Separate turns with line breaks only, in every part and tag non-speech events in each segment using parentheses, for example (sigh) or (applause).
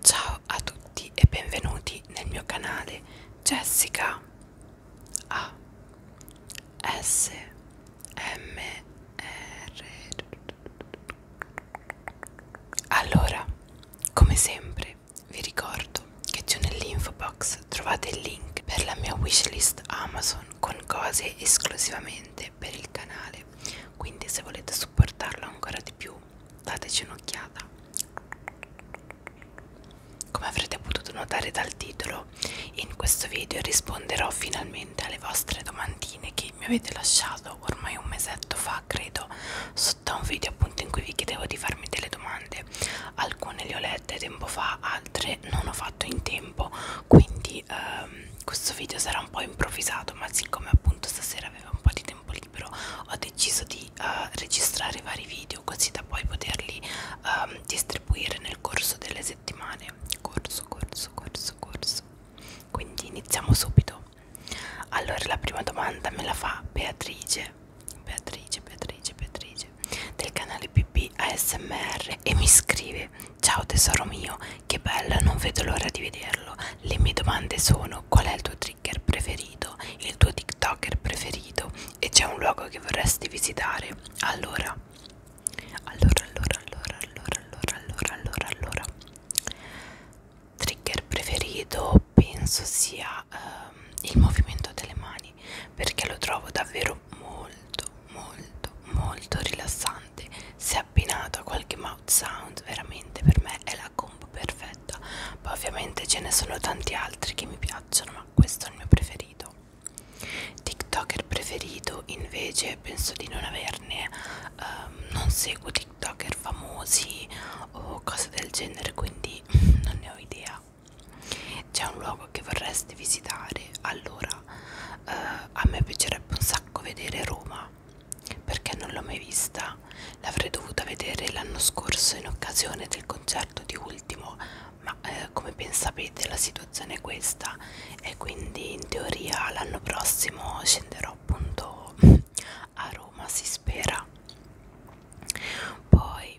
Ciao a tutti e benvenuti nel mio canale Jessica A S M R. Allora, come sempre, vi ricordo che giù nell'info box trovate il link per la mia wishlist Amazon con cose esclusivamente iscrivete per il canale quindi se volete supportarlo ancora di più dateci un'occhiata come avrete potuto notare dal titolo in questo video risponderò finalmente alle vostre domandine che mi avete lasciato ormai un mesetto fa credo sotto un video appunto in cui vi chiedevo di farmi delle domande alcune le ho lette tempo fa altre non ho fatto in tempo tempo quindi ehm, questo video sarà un po' improvvisato ma siccome appunto stasera avevo un po' di tempo libero ho deciso di eh, registrare vari video così da poi poterli ehm, distribuire nel corso delle settimane corso corso corso corso quindi iniziamo subito allora la prima domanda me la fa Beatrice Beatrice Beatrice Beatrice voce del canale PP ASMR e mi scrive Ciao tesoro mio, che bella, non vedo l'ora di vederlo. Le mie domande sono qual è il tuo trigger preferito, il tuo TikToker preferito e c'è un luogo che vorresti visitare. Allora, allora, allora, allora, allora, allora, allora, allora. Trigger preferito penso sia um, il movimento delle mani perché lo trovo davvero molto molto molto rilassante se abbinato a qualche mouth sound veramente per me è la combo perfetta poi ovviamente ce ne sono tanti altri che mi piacciono ma questo è il mio preferito tiktoker preferito invece penso di non averne um, non seguo tiktoker famosi o cose del genere quindi (laughs) non ne ho idea c'è un luogo che vorresti visitare allora eh, a me piacerebbe un sacco vedere Roma perché non l'ho mai vista l'avrei dovuta vedere l'anno scorso in occasione del concerto di ultimo ma eh, come ben sapete la situazione è questa e quindi in teoria l'anno prossimo scenderò appunto a Roma si spera poi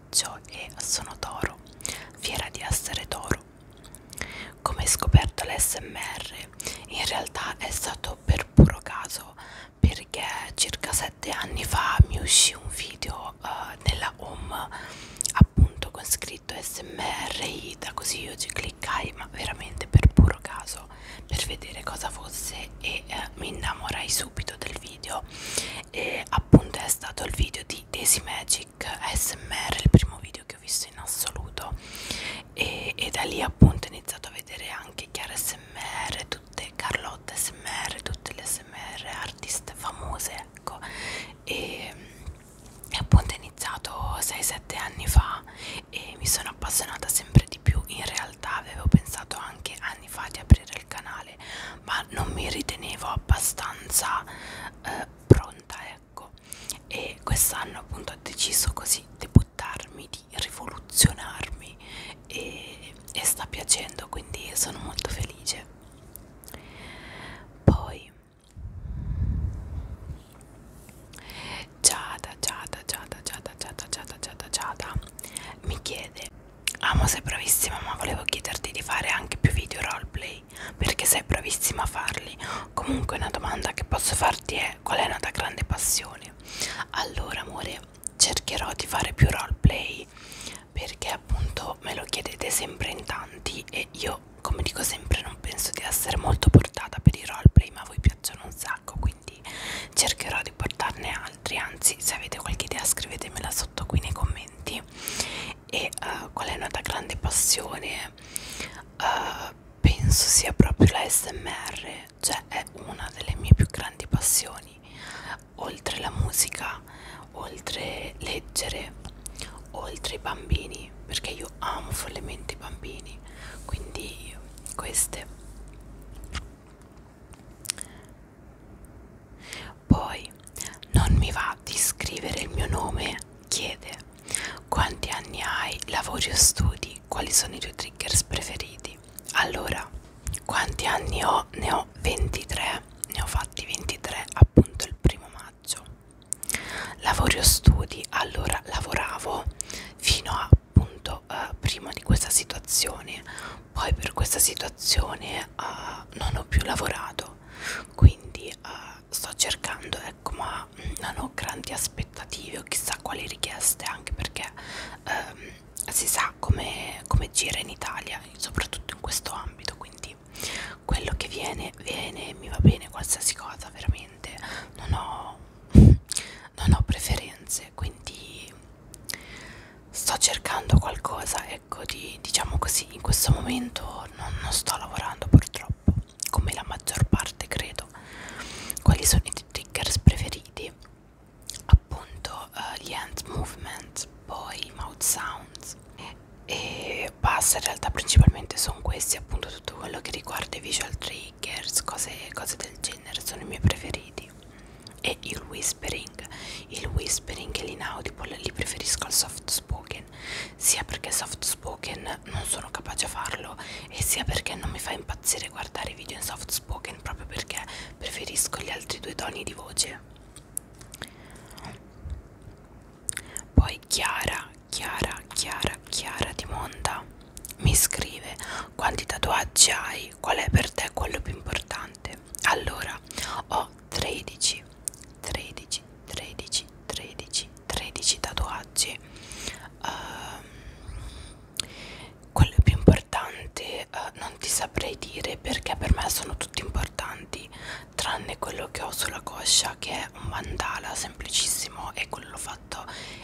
maggio e sono toro, fiera di essere toro. Come scoperto l'SMR, in realtà è stato per puro caso perché circa sette anni fa mi uscì un video uh, nella home appunto con scritto SMR ITA, così io ci cliccai ma veramente per puro caso per vedere cosa fosse e uh, mi innamorai subito del video e appunto è stato il video di Daisy Magic ASMR il primo video che ho visto in assoluto e, e da lì appunto ho iniziato a vedere anche Chiara SMR tutte Carlotta SMR tutte le SMR artiste famose ecco e, e appunto è iniziato 6-7 anni fa e mi sono appassionata sempre di più in realtà avevo pensato anche a anni fa di aprire il canale ma non mi ritenevo abbastanza eh, pronta ecco e quest'anno appunto ho deciso così di buttarmi di rivoluzionarmi e, e sta piacendo quindi sono molto felice poi Giada Giada Giada Giada Giada Giada Giada Giada mi chiede Amo sei bravissima ma volevo chiederti di fare anche più video roleplay perché sei bravissima a farli. Comunque una domanda che posso farti è qual è una tua grande passione? Allora amore cercherò di fare più roleplay perché appunto me lo chiedete sempre in tanti e io come dico sempre non penso di essere molto portata per i roleplay ma a voi piacciono un sacco quindi quindi cercherò di portarne altri anzi se avete qualche idea scrivetemela sotto qui nei commenti e uh, qual è nata grande passione uh, penso sia proprio la smr cioè è una delle mie più grandi passioni oltre la musica oltre leggere oltre i bambini perché io amo follemente i bambini quindi queste poi non mi va di scrivere il mio nome, chiede quanti anni hai, lavori o studi, quali sono i tuoi triggers preferiti. Allora, quanti anni ho? Ne ho 23, ne ho fatti 23 appunto il primo maggio. Lavori o studi? Allora, lavoravo fino a appunto eh, prima di questa situazione poi per questa situazione eh, non ho più lavorato quindi eh, sto cercando ecco ma non ho grandi aspettative o chissà quali richieste anche perché ehm, si sa come, come gira in Italia soprattutto in questo ambito quindi quello che viene viene mi va bene qualsiasi cosa veramente non ho (laughs) non ho preferenze quindi sto cercando qualcosa ecco di diciamo così in questo momento non, non sto lavorando purtroppo come la maggior parte credo quali sono i triggers preferiti appunto uh, gli hand movement poi mouth sounds e, e basta in realtà principalmente sono questi appunto tutto quello che riguarda i visual triggers, cose, cose del genere, sono i miei preferiti. E il whispering, il whispering e l'inaudible li preferisco al soft spoken, sia perché soft spoken non sono capace a farlo e sia perché non mi fa impazzire guardare i video in soft spoken proprio perché preferisco gli altri due toni di voce. Poi Chiara, Chiara Chiara Chiara di Monda mi scrive quanti tatuaggi hai? Qual è per te quello più importante? Allora ho 13 13 13 13 13 tatuaggi uh, quello più importante uh, non ti saprei dire perché per me sono tutti importanti tranne quello che ho sulla coscia che è un mandala semplicissimo e quello l'ho fatto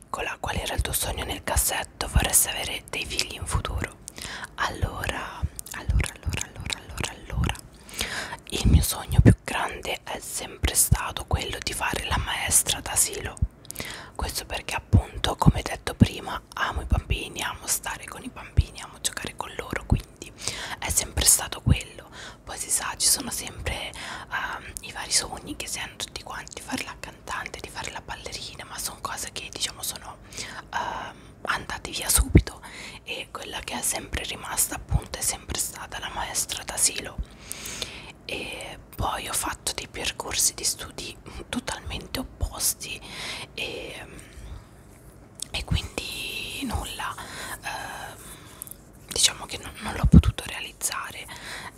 piccola qual era il tuo sogno nel cassetto vorresti avere dei figli in futuro allora allora allora allora allora allora il mio sogno più grande è sempre stato quello di fare la maestra d'asilo questo perché appunto come detto prima amo i bambini amo stare con i bambini amo giocare con loro quindi è sempre stato quello poi si sa ci sono sempre uh, i vari sogni che si hanno tutti quanti fare la cantante cantante, di fare la ballerina, ma sono cose che diciamo sono uh, andate via subito e quella che è sempre rimasta appunto è sempre stata la maestra d'asilo e poi ho fatto dei percorsi di studi totalmente opposti e, e quindi nulla uh, diciamo che non, non l'ho potuto realizzare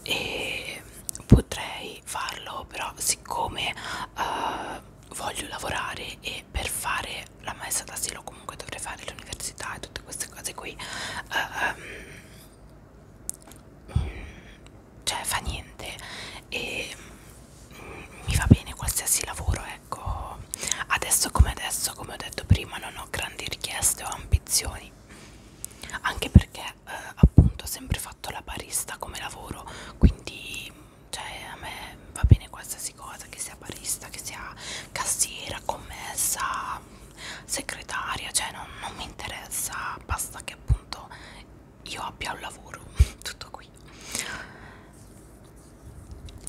e potrei di farlo però siccome uh, voglio lavorare e per fare la maestra d'asilo comunque dovrei fare l'università e tutte queste cose qui uh, um, cioè fa niente e um, mi va bene qualsiasi lavoro ecco adesso come adesso come ho detto prima non ho grandi richieste o ambizioni anche perché eh, appunto ho sempre fatto la barista come lavoro quindi cioè a me va bene qualsiasi cosa che sia barista che sia cassiera commessa segretaria cioè non, non mi interessa basta che appunto io abbia un lavoro (laughs) tutto qui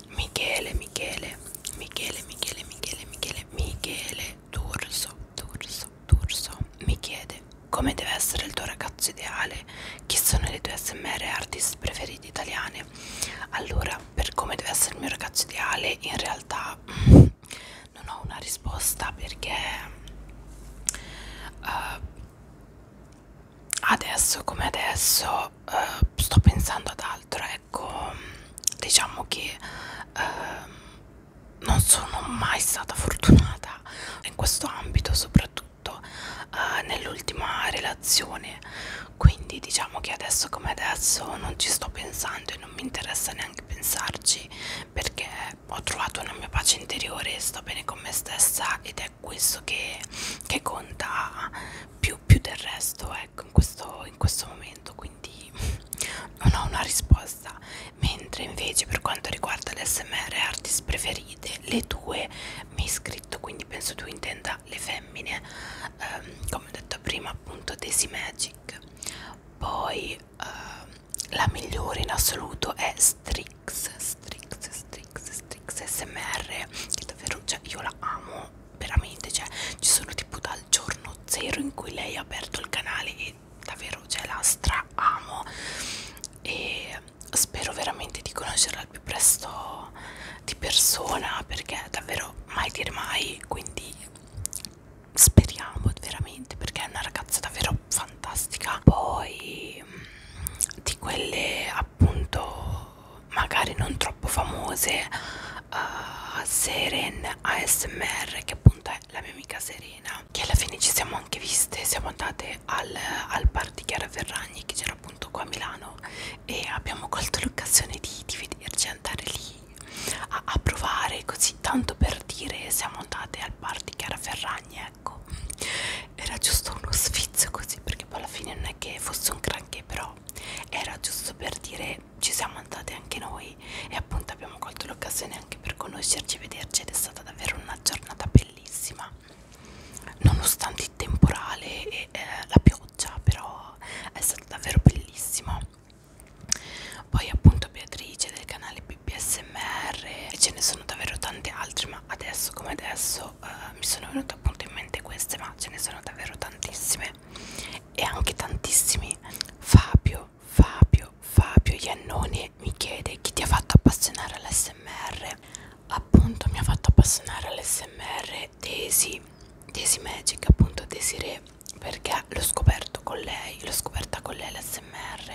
Michele Michele Michele Michele Michele Michele Michele D'Urso D'Urso, D'Urso mi chiede come deve essere il tuo ragazzo ideale, chi sono le tue smr artist preferite italiane. Allora, per come deve essere il mio ragazzo ideale, in realtà mm, non ho una risposta perché uh, adesso come adesso uh, sto pensando ad altro, ecco, diciamo che uh, non sono mai stata fortunata in questo ambito, soprattutto eh, nell'ultima relazione. Quindi diciamo che adesso come adesso non ci sto pensando e non mi interessa neanche pensarci perché ho trovato una mia pace interiore, sto bene con me stessa ed è questo che, che conta più, più del resto ecco, in questo, in questo momento. Quindi quindi (laughs) non ho una risposta mentre invece per quanto riguarda l'SMR artist preferite le tue mi hai scritto quindi penso tu intenda le femmine ehm, come ho detto prima appunto Daisy Magic poi ehm, la migliore in assoluto è Strix Strix Strix Strix SMR che davvero cioè io la amo veramente cioè ci sono tipo dal dal giorno zero in cui lei ha aperto il canale e davvero cioè, la stra amo e spero veramente di conoscerla al più presto di persona perché davvero mai dire mai quindi speriamo veramente perché è una ragazza davvero fantastica poi mm, di quelle appunto magari non troppo famose uh, Seren ASMR che appunto è la mia amica Serena che alla fine ci siamo anche viste siamo andate al, al bar di Chiara Ferragni che c'era appunto qua a Milano e abbiamo colto l'occasione di, di vederci andare lì a, a provare così tanto per dire siamo andate al bar di Chiara Ferragni ecco era giusto uno sfizio così perché poi alla fine non è che fosse un granché però però era giusto per dire ci siamo andate anche noi e appunto abbiamo colto l'occasione anche per conoscerci e vederci ed è stata davvero una giornata bellissima nonostante il temporale e eh, la pioggia però è stata davvero bellissima poi appunto Beatrice del canale BBSMR e ce ne sono davvero tante altre ma adesso come adesso eh, mi sono venute appunto in mente queste ma ce ne sono davvero tantissime persone e anche tantissimi Fabio, Fabio, Fabio Iannone mi chiede chi ti ha fatto appassionare all'SMR appunto mi ha fatto appassionare all'SMR Daisy Daisy Magic appunto Desiree perché l'ho scoperto con lei l'ho scoperta con lei l'SMR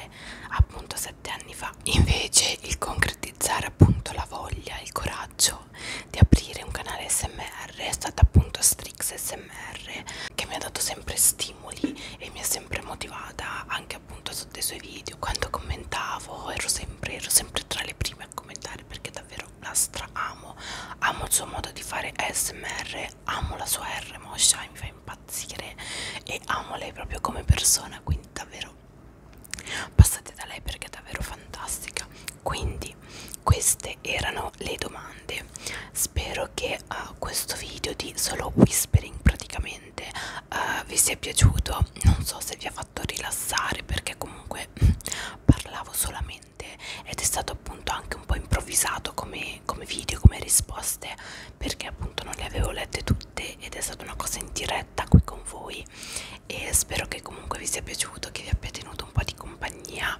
appunto sette anni fa invece il concretizzare appunto la voglia il coraggio deciso di aprire un canale smr è stata appunto Strix smr che mi ha dato sempre stimoli e mi ha sempre motivata anche appunto sotto i suoi video quando commentavo ero sempre, ero sempre tra le prime a commentare perché davvero la stra amo amo il suo modo di fare smr amo la sua r moscia mi fa impazzire e amo lei proprio come persona quindi davvero passate da lei perché è davvero fantastica quindi queste erano le domande spero che uh, questo video di solo whispering praticamente uh, vi sia piaciuto non so se vi ha fatto rilassare perché comunque (clears throat) parlavo solamente ed è stato appunto anche un po' improvvisato come, come video come risposte perché appunto non le avevo lette tutte ed è stata una cosa in diretta qui con voi e spero che comunque vi sia piaciuto che vi abbia tenuto un po' di compagnia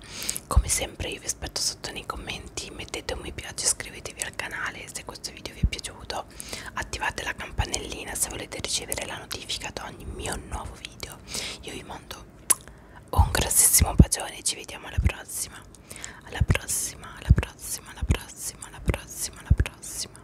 come sempre io vi aspetto sotto nei commenti mettete un mi piace iscrivetevi al canale se questo video vi è piaciuto attivate la campanellina se volete ricevere la notifica ad ogni mio nuovo video io vi mando un grossissimo bacione ci vediamo alla prossima alla prossima alla prossima alla prossima alla prossima alla prossima